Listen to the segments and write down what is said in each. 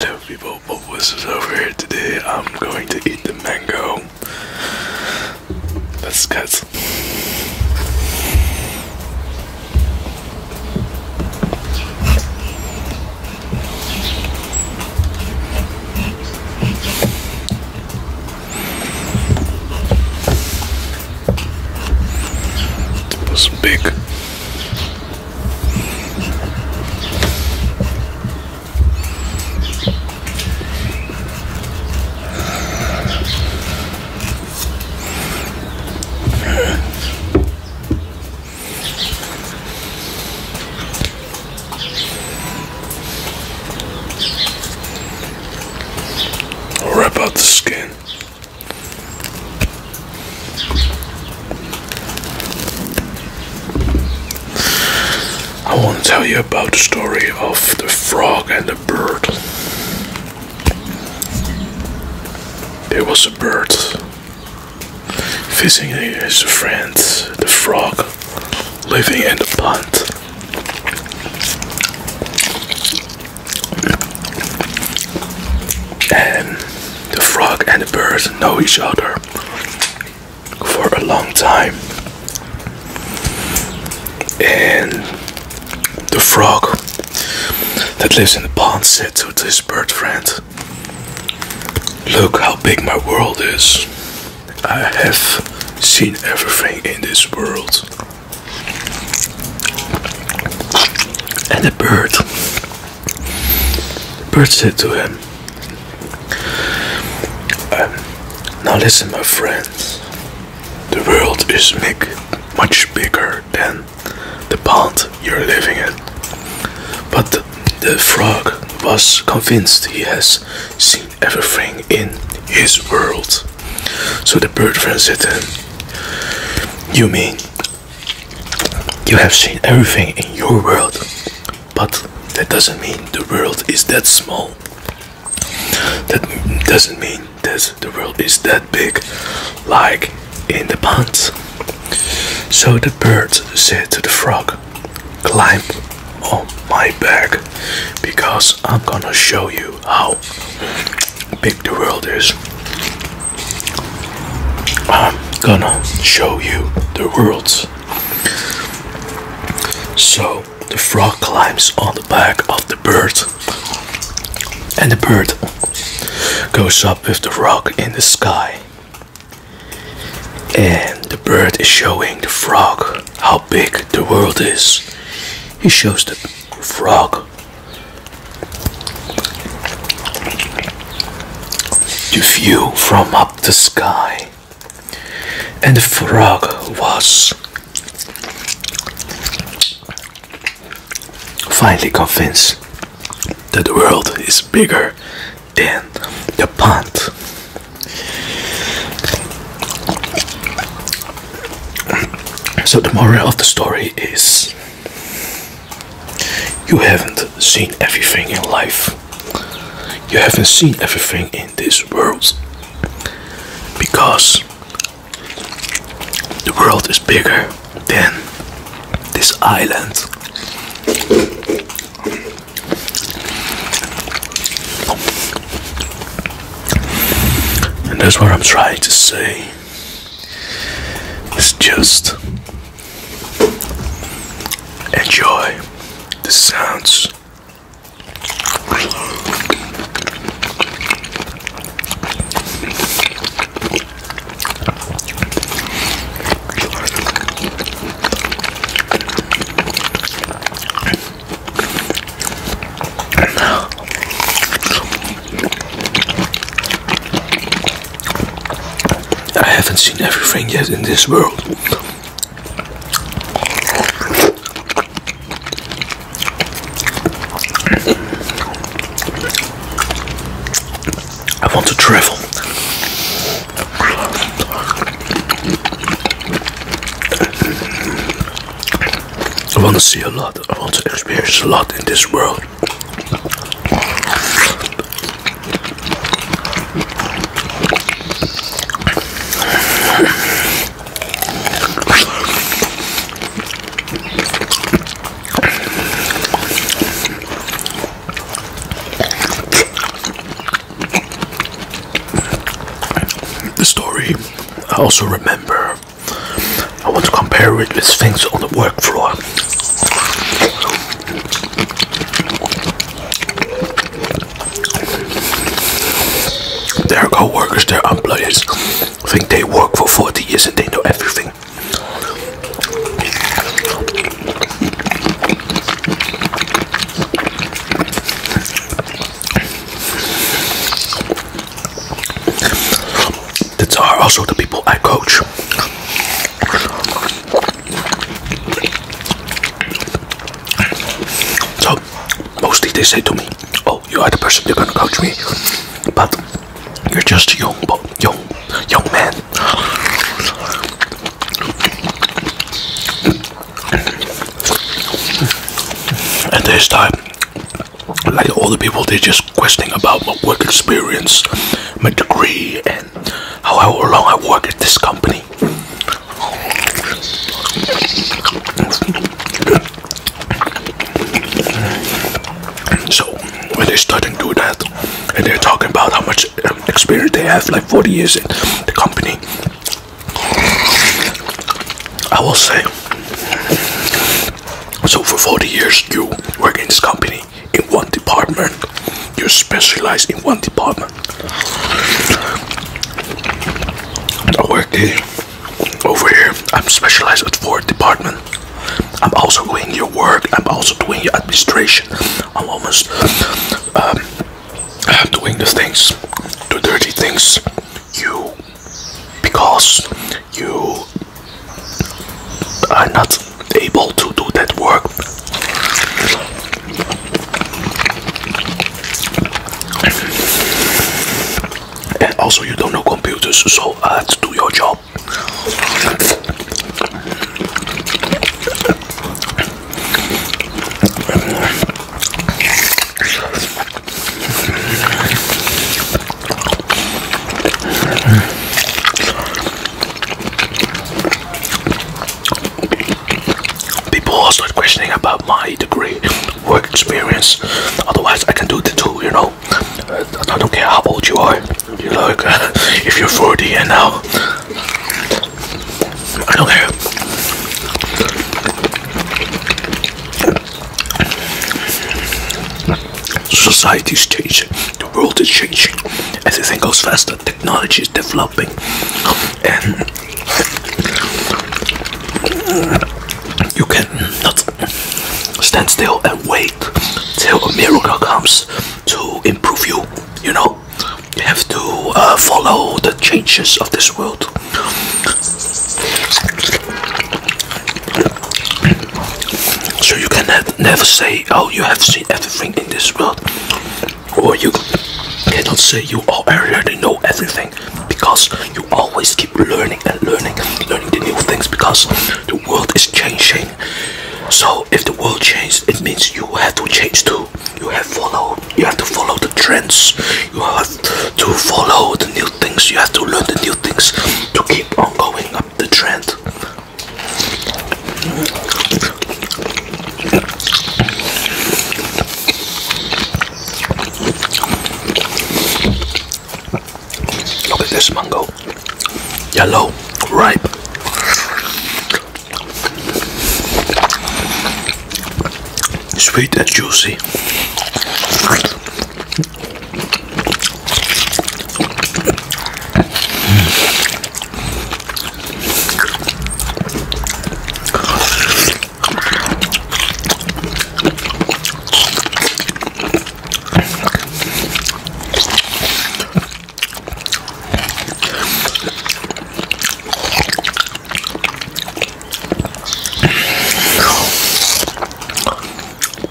So people, Bulbous is over here today. I'm going to eat the mango. Let's cut. It was big. Rip out the skin. I want to tell you about the story of the frog and the bird. There was a bird visiting his friends, the frog, living in the pond. And the frog and the birds know each other for a long time. And the frog that lives in the pond said to his bird friend, Look how big my world is. I have seen everything in this world. And the bird Bird said to him, um, Now listen, my friends, the world is big, much bigger than the pond you're living in. But the frog was convinced he has seen everything in his world. So the bird friend said to him, You mean you have seen everything in your world, but that doesn't mean the world is that small. That doesn't mean that the world is that big, like in the pond. So the bird said to the frog, Climb on my back because I'm gonna show you how big the world is. I'm gonna show you the worlds. So the frog climbs on the back of the bird, and the bird goes up with the frog in the sky. And the bird is showing the frog how big the world is. He shows the frog you view from up the sky, and the frog was finally convinced that the world is bigger than the pond. So, the moral of the story is you haven't seen everything in life. You haven't seen everything in this world. Because the world is bigger than this island. And that's what I'm trying to say. Let's just enjoy the sounds. And now I haven't seen everything yet in this world. I want to travel. I want to see a lot. I want to experience a lot in this world. The story I also remember I want to compare it with things on the work floor. Their coworkers, workers their employers, think they work for 40 years and they know everything. That's are also the people I coach. So mostly they say to me, "Oh, you are the person you're gonna coach me," but you're just a young, young, young man. And this time, like all the people, they're just questioning about my work experience, my degree, and how long I work at this company. So when they start starting to do that, and they're talking about how much experience they have, like 40 years in the company, I will say so for 40 years you work in this company in one department. You specialize in one department. I work here. over here. I'm specialized at four department. I'm also doing your work. I'm also doing your administration. I'm almost um, doing the things, the dirty things you because you are not able to do that work and also you don't know computers so I had to do your job People are start questioning about my degree, work experience. Otherwise, I can do the two, you know. Uh, I don't care how old you are. You like, uh, if you're 40 and now, I don't care. Society is changing, the world is changing, everything goes faster, technology is developing, and you cannot stand still and wait till a miracle comes to improve you. You know, you have to uh, follow the changes of this world. So you can never say, oh, you have seen everything in this world. Or you cannot say you already know everything. Because you always keep learning and learning learning the new things. Because the world is changing. So if the world changes, it means you have to change too. You have to follow you have to follow the trends you have to follow the new things you have to learn the new things to keep on going up the trend Look at this mango. Yellow, ripe sweet and juicy.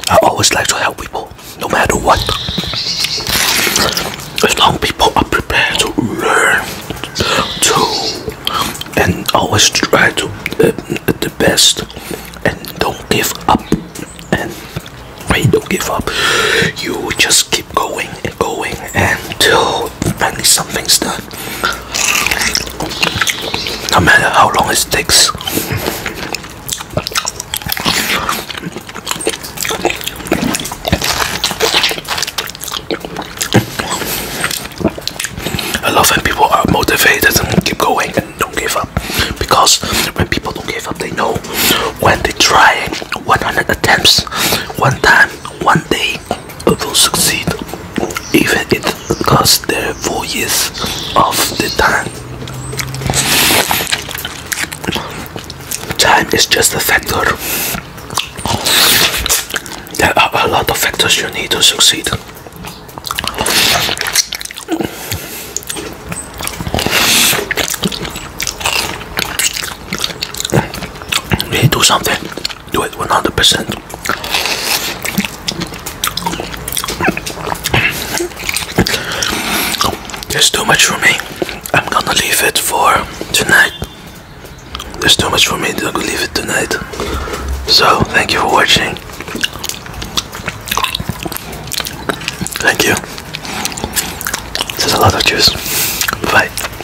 I always like to help people, no matter what. As long as people are prepared to learn, to, and always try to uh, the best, and don't give up, and wait, don't give up. You just keep going and going until know finally something's done. No matter how long it takes. I love when people are motivated and keep going and don't give up because when people don't give up they know when they try 100 attempts one time one day will succeed even if it costs their four years of the time. Time is just a factor. There are a lot of factors you need to succeed. We do something do it 100%. There's too much for me. I'm gonna leave it for tonight. There's too much for me to leave it tonight. So, thank you for watching. Thank you. There's a lot of juice. Bye.